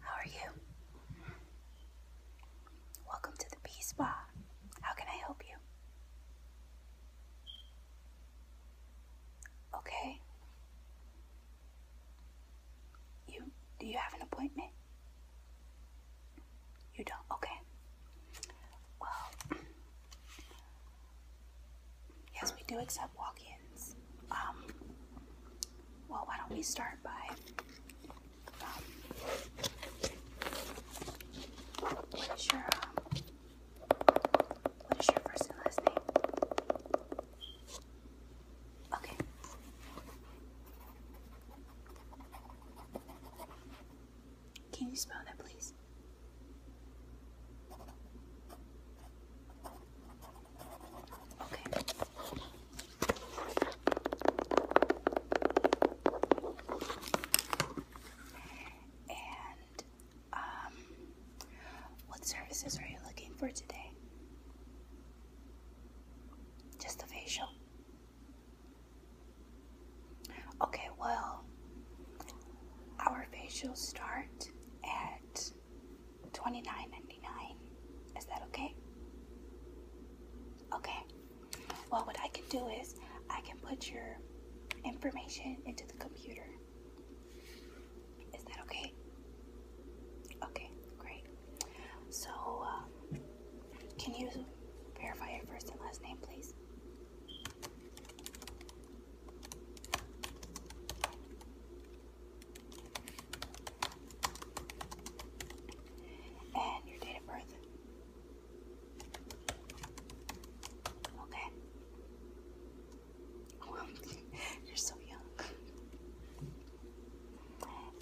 how are you? Welcome to the Bee Spa. How can I help you? Okay. You do you have an appointment? You don't. Okay. Well, yes, we do accept walk-ins. Um, well, why don't we start by what is your um, what is your first name? Okay. Can you spell that, please? Okay. And um what services are you looking for today? Just a facial. Okay, well, our facials start at 29 99 Is that okay? Okay. Well, what I can do is I can put your information into the computer. Is that okay? Okay, great. So, um, can you verify your first and last name, please? And your date of birth. Okay. Well, you're so young.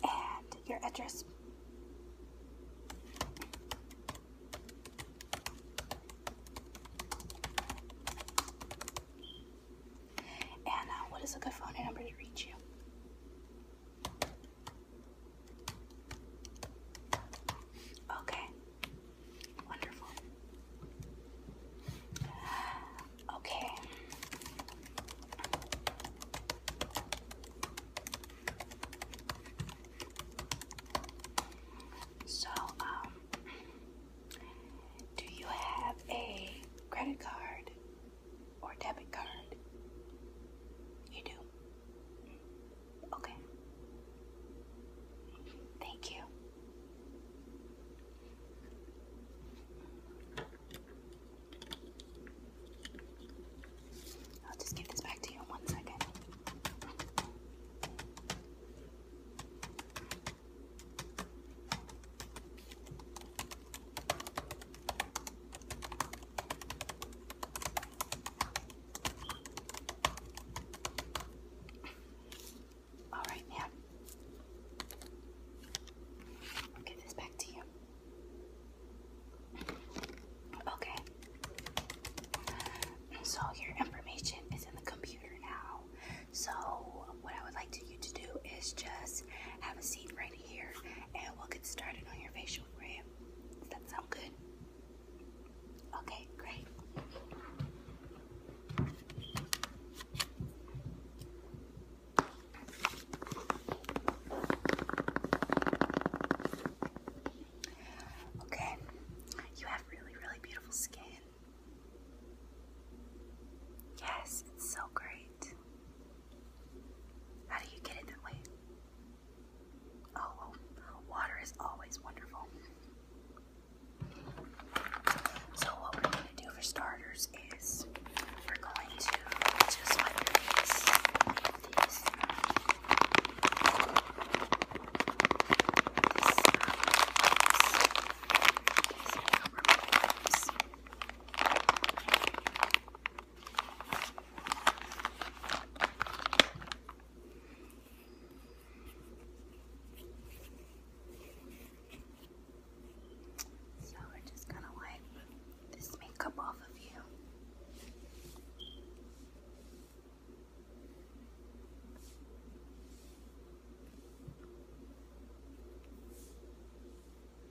And your address. And uh, what is a good phone number to reach you? Okay. Wonderful. Okay. So, um, do you have a credit card? or debit card? You do? Okay. Thank you. I'll just give this back to you in one second. All right, now I'll get this back to you. Okay. So your information is in the computer now. So what I would like to you to do is just have a seat right here and we'll get started on your facial rim. Does that sound good? Okay, great. Okay, you have really, really beautiful skin. Yes, it's so great. How do you get it that way? Oh, water is always wonderful. So, what we're going to do for starters is we're going to just so we're just gonna wipe this makeup off of you.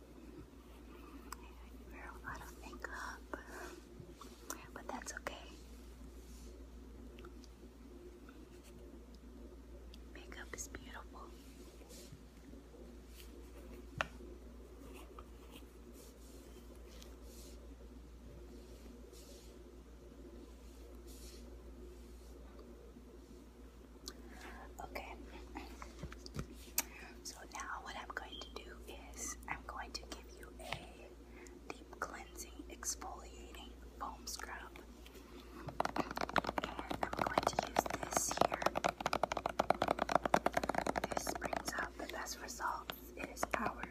You wear a lot of makeup, but that's okay. Makeup is beautiful. Okay, so now what I'm going to do is I'm going to give you a deep cleansing exfoliating foam scrub. And I'm going to use this here. This brings out the best results. It is our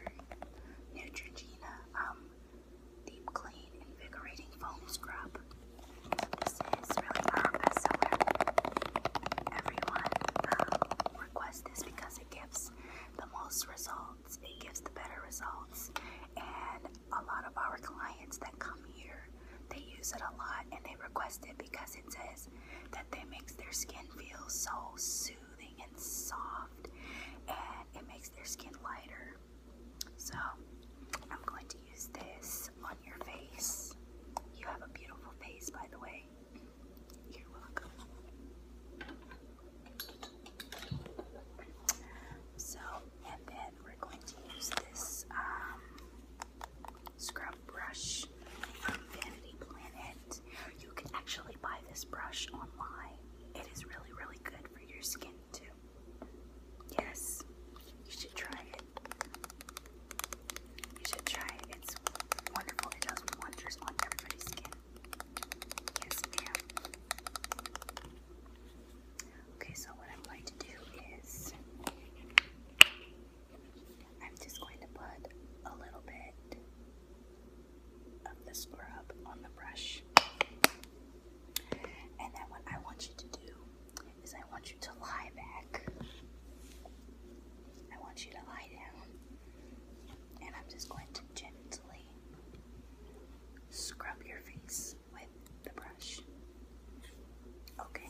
Neutrogena um, Deep Clean Invigorating Foam Scrub. This is really our best seller. I everyone um, this because it gives the most results. It gives the better results. And a lot of our clients that come here, they use it a lot and they request it because it says that it makes their skin feel so soothing and soft and it makes their skin lighter. So I'm going to use this on your face. You have a beautiful face by the way you So, and then we're going to use this um, scrub brush from Vanity Planet. You can actually buy this brush online. It is really, really good for your skin too. Yes, you should try it. You should try it. It's wonderful. It does wonders on everybody's skin. Yes, ma'am. Okay, so what I'm going to do is I'm just going to put a little bit of the scrub on the brush. And then what I want you to do is I want you to lie back I want you to lie down, and I'm just going to gently scrub your face with the brush. Okay.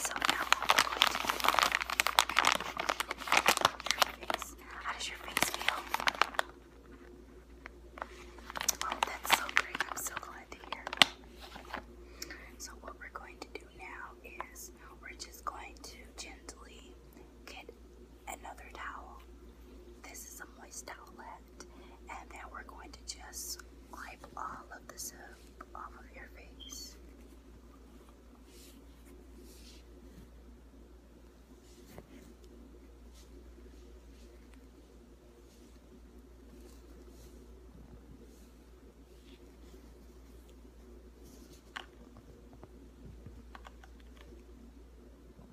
so now I'm going to your face. How does your face feel? Oh, that's so great. I'm so glad to hear. So what we're going to do now is we're just going to gently get another towel. This is a moist towel. And then we're going to just wipe all of the soap off of your face.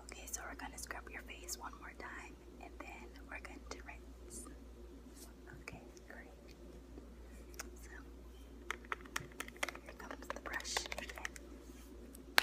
Okay, so we're going to scrub your face one more time and then we're going to rinse. Okay, great. So here comes the brush again. Now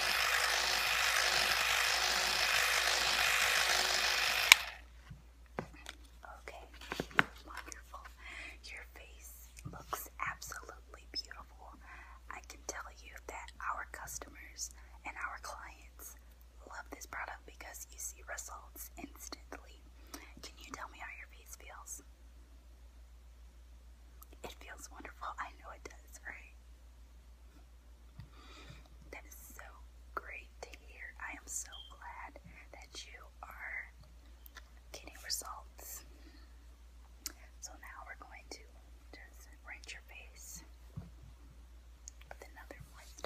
Okay, wonderful. Your face looks absolutely beautiful. I can tell you that our customers and our clients love this product because you see results instantly. Can you tell me how your face feels? It feels wonderful. I know it does, right? That is so great to hear. I am so glad that you are getting results. So now we're going to just rinse your face with another moist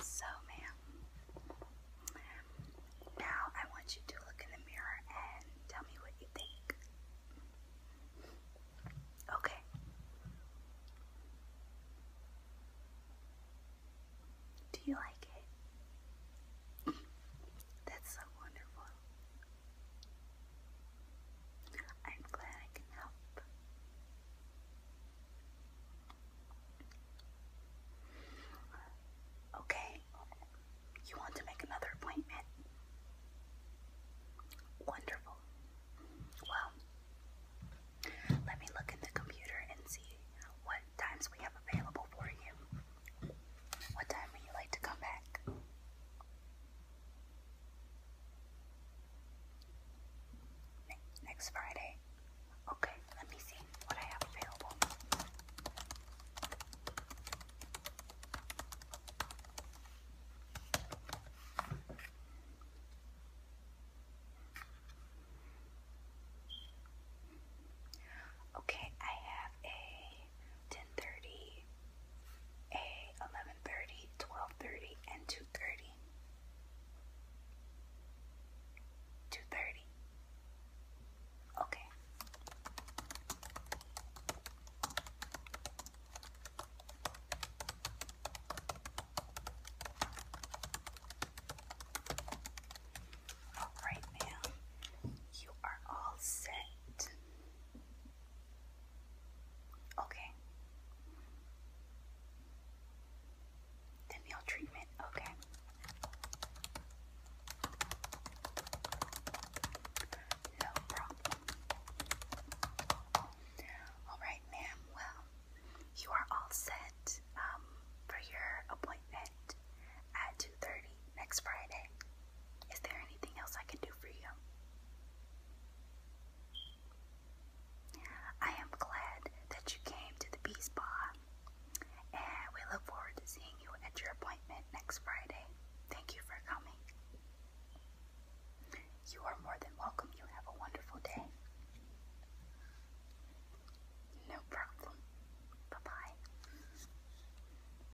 So, ma'am, now I want you to look in the mirror and tell me what you think. Okay. Do you like it? That's so wonderful. I'm glad I can help. Okay, you want to make another appointment? Wonderful. Well, let me look in the computer and see what times we have available for you. What time would you like to come back? next Friday? Okay, let me see what I have available. Okay, I have a 10:30 a 11:30 12:30 and 2:30 2:30 okay all right, ma'am. You are all set. Okay. The meal treatment, okay. No problem. All right, ma'am. Well, you are all set um, for your appointment at 2.30 next Friday. Is there anything else I can do for you? I am glad that you came to the Bee Spa, and we look forward to seeing you at your appointment next Friday. Thank you for coming. You are more than welcome. You have a wonderful day. No problem. Bye bye.